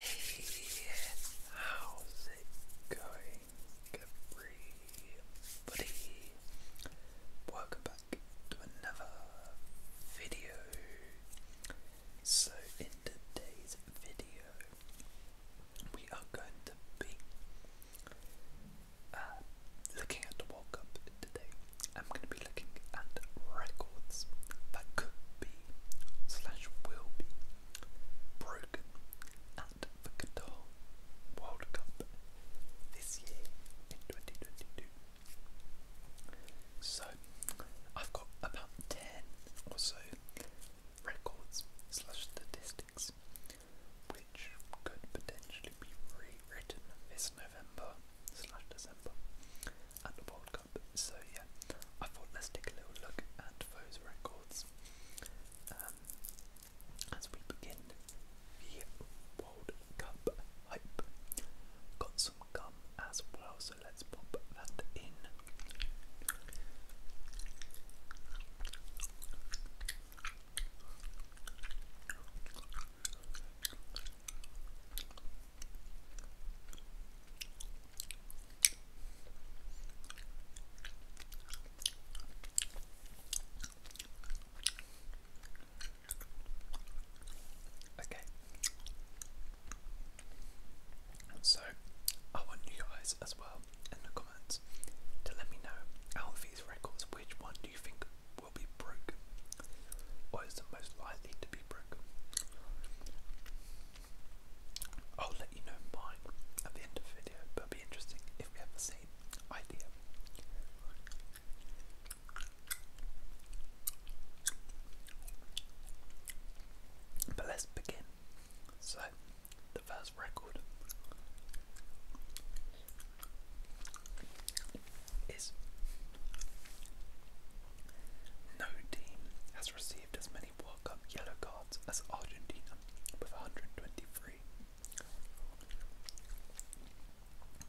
Hey, how's it going, everybody? Welcome back to another video. So, in today's video, we are going to be uh, looking at the World Cup today. I'm going to be looking at records that could be slash will be broken at the Qatar World Cup this year in 2022. So I've got about 10 or so records slash statistics which could potentially be rewritten this November slash December at the World Cup. So yeah, I thought let's take a little look at those records um, as we begin the World Cup hype. Got some gum as well, so let's pop that in. Okay. So, I want you guys as well in the comments to let me know out records which one do you think will be broken or is the most likely to be broken. I'll let you know mine at the end of the video, but it'll be interesting if we have the idea. But let's begin. So, the first record is no team has received as many World Cup yellow cards as Argentina, with 123,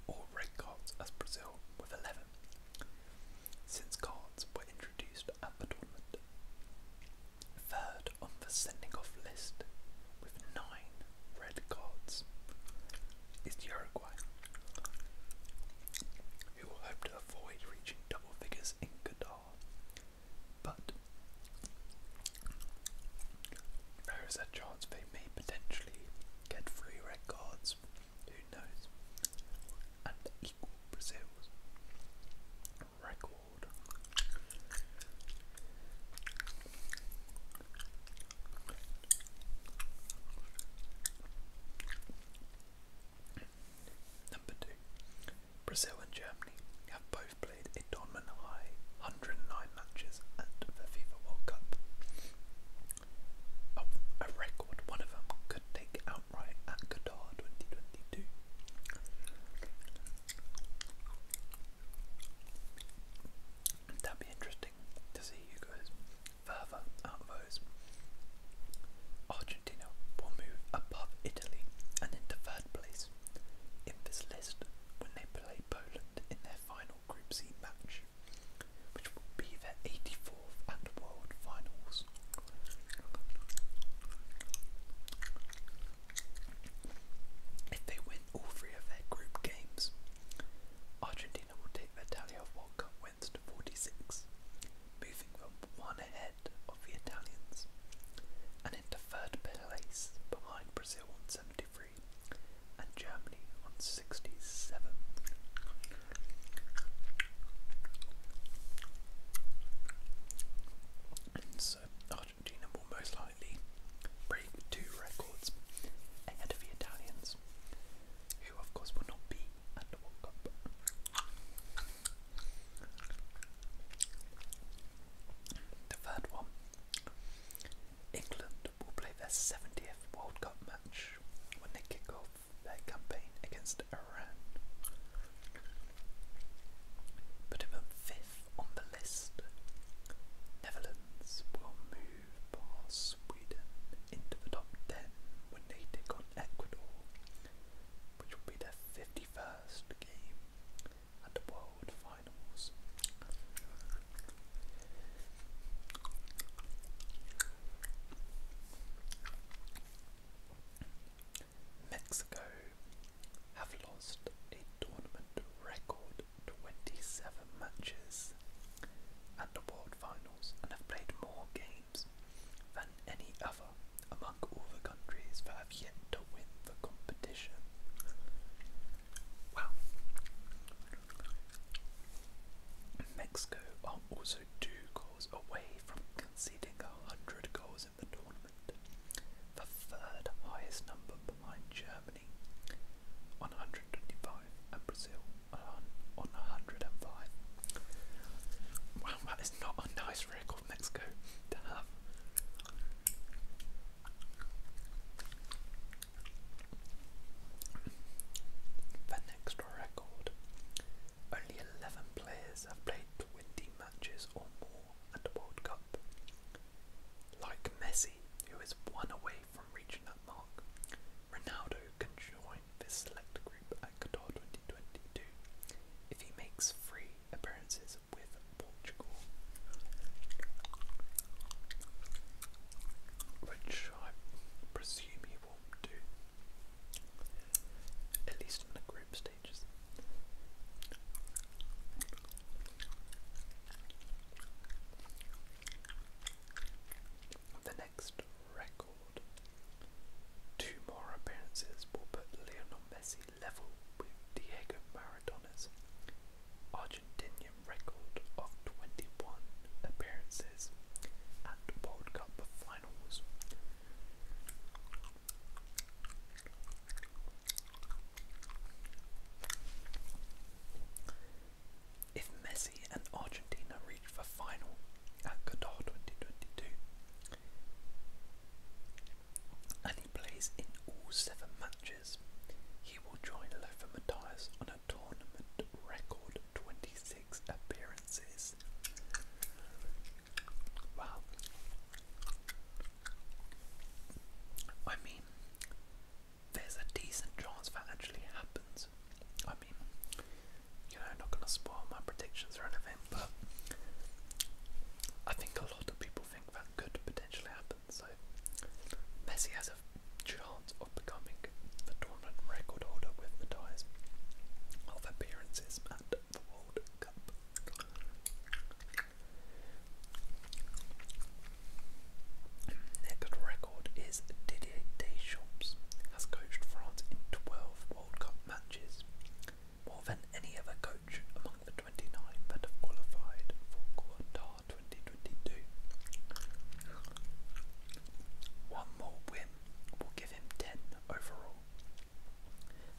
or red cards as Brazil, with 11, since cards were introduced at the tournament. Third on the sending off list, with 9 red cards, is Uruguay who will hope to avoid reaching double figures in Qatar. But there is a chance they may potentially get three red who knows, and equal Brazil's record. Number two, Brazil and Germany have both played a dominant high 109 matches at the FIFA World Cup. Of a record, one of them could take outright at Qatar 2022. That'd be interesting to see who goes Further out Argentina will move above Italy and into third place in this list when they play Poland in their final Group C match, which will be their 84th and World Finals. If they win all three of their group games, Argentina Argentina will take their tally of World Cup wins to 46, moving them one ahead of the Italians and into third place behind Brazil on 73 and Germany on 67. so Argentina will most likely break two records ahead of the Italians who of course will not be at the World Cup. The third one England will play their 70th World Cup match when they kick off their campaign against Iran. But in fifth on the list, Netherlands will move past Sweden into the top 10 when they take on Ecuador, which will be their 51st game at the World Finals. Mexico have lost a tournament record 27 matches and award finals and have played more games than any other among all the countries that have yet to win the competition. Wow. Mexico are also two goals away from conceding 100 goals in the tournament, the third highest number behind Germany. Germany and Brazil 105. Wow, that is not a nice record, Mexico, to have. The next record. Only 11 players have played 20 matches or more at a World Cup. Like Messi, who is one away from reaching that mark. Ronaldo can join this select group at Qatar 2022 if he makes three appearances with Portugal. Which I presume he will do, at least in the group stages. The next record. Two more appearances will put Lionel Messi level with Diego Maradona's Argentinian record of 21 appearances at World Cup finals. If Messi and Argentina reach the final at Qatar 2022, and he plays in all seven matches, he will join Lothar Matthias on a tournament record 26 appearances. Wow. I mean, there's a decent chance that actually happens. I mean, you know, I'm not going to spoil my predictions or anything, but I think a lot of people think that could potentially happen. So, Messi has a chance of becoming the tournament record holder with the ties of appearances at the World Cup. Next record is Didier Deschamps has coached France in 12 World Cup matches, more than any other coach among the 29 that have qualified for Qatar 2022. One more win will give him 10 overall,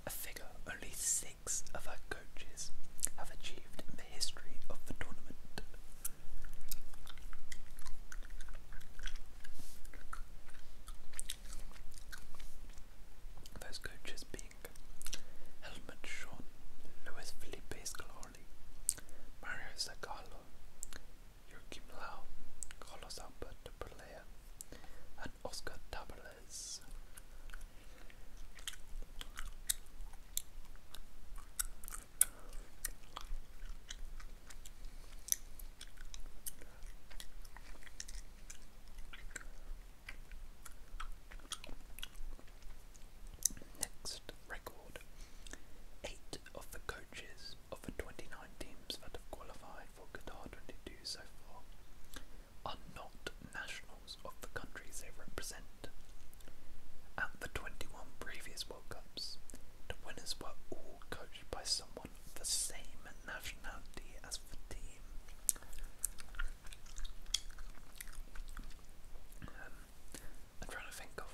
a figure only six other coaches have achieved history of the tournament. Those coaches being Helmut Schorn, Luis Felipe Scolari, Mario Zagallo, Joachim Lau, Carlos Alberto Pelea, and Oscar Tabarez. Next record. Eight of the coaches of the 29 teams that have qualified for Qatar 22 so far are not nationals of the countries they represent. At the 21 previous World Cups, the winners were all coached by someone the same nationality as the team. Um, I'm trying to think of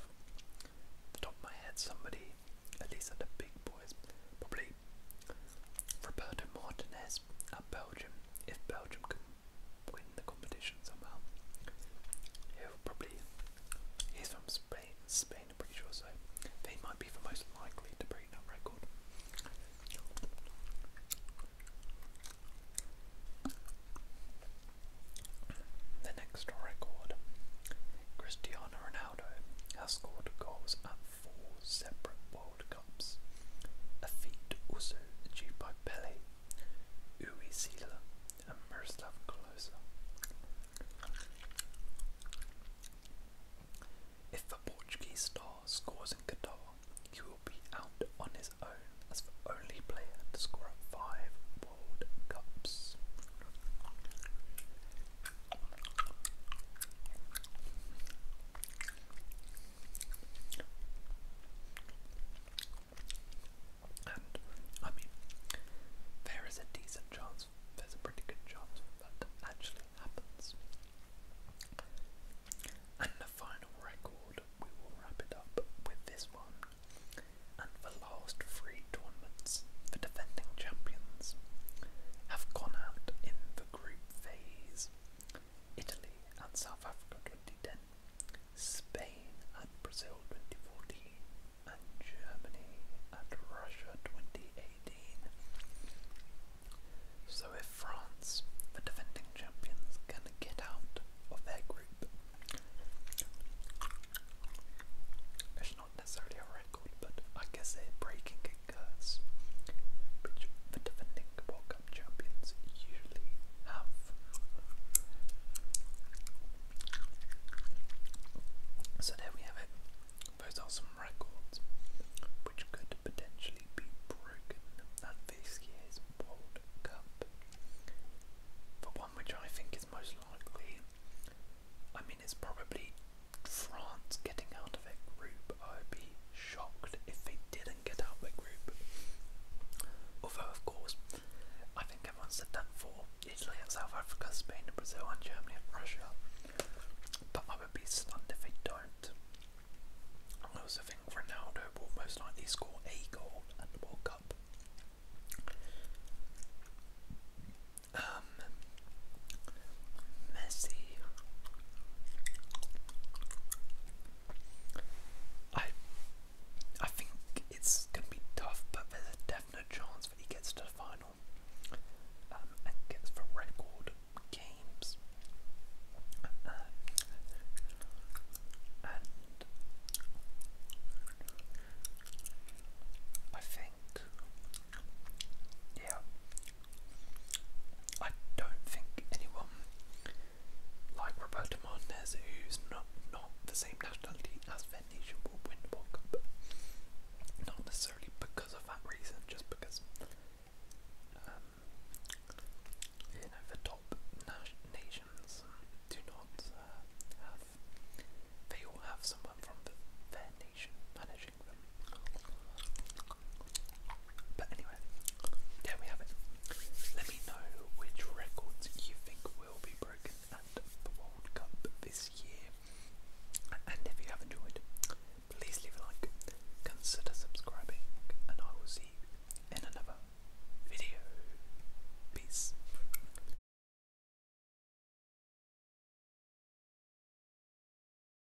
the top of my head somebody, at least at the big boys, probably Roberto Martinez at Belgium. If Belgium can win the competition somehow. He'll probably he's from Spain Spain I'm pretty sure so they might be the most likely to break that record. The next record Cristiano Ronaldo has scored goals at four separate World Cups. A feat also achieved by Pele, Uwe Seeler, and Miroslav Klose. If the Portuguese star scores in Qatar, he will be out on his own as the only player to score a five World Cups. And I mean, there is a decent chance, there's a pretty good chance that actually happens. And the final record, we will wrap it up with this one. And the last three tournaments, the defending champions, have gone out in the group phase. Italy and South Africa 2010, Spain and Brazil 2014, and Germany and Russia 2018. So if France, the defending champions, can get out of their group, it's not necessarily a record, but I guess they're breaking a curse, which the defending World Cup champions usually have. So there we have it. Those are some records which could potentially be broken at this year's World Cup. The one which I think is most likely, I mean, it's probably France getting out of their group. I would be shocked if they did ahead and get out the group. Although, of course, I think everyone said for Italy and South Africa, Spain and Brazil and Germany and Russia. But I would be stunned if they don't. I also think Ronaldo will most likely score a goal at the World Cup. Um, Messi I I think it's gonna be tough, but there's a definite chance that he gets to the final um, and gets the record games. and I think, yeah, I don't think anyone like Roberto Martinez, who's not not the same nationality as Venetian, will win the World Cup. Not necessarily because of that reason, just because um, you know the top nations do not uh, have. They all have someone from the, their nation, managing But anyway, there we have it. Let me know which records you think will be broken at the World Cup this year. And if you have enjoyed, please leave a like, consider subscribing, and I will see you in another video. Peace.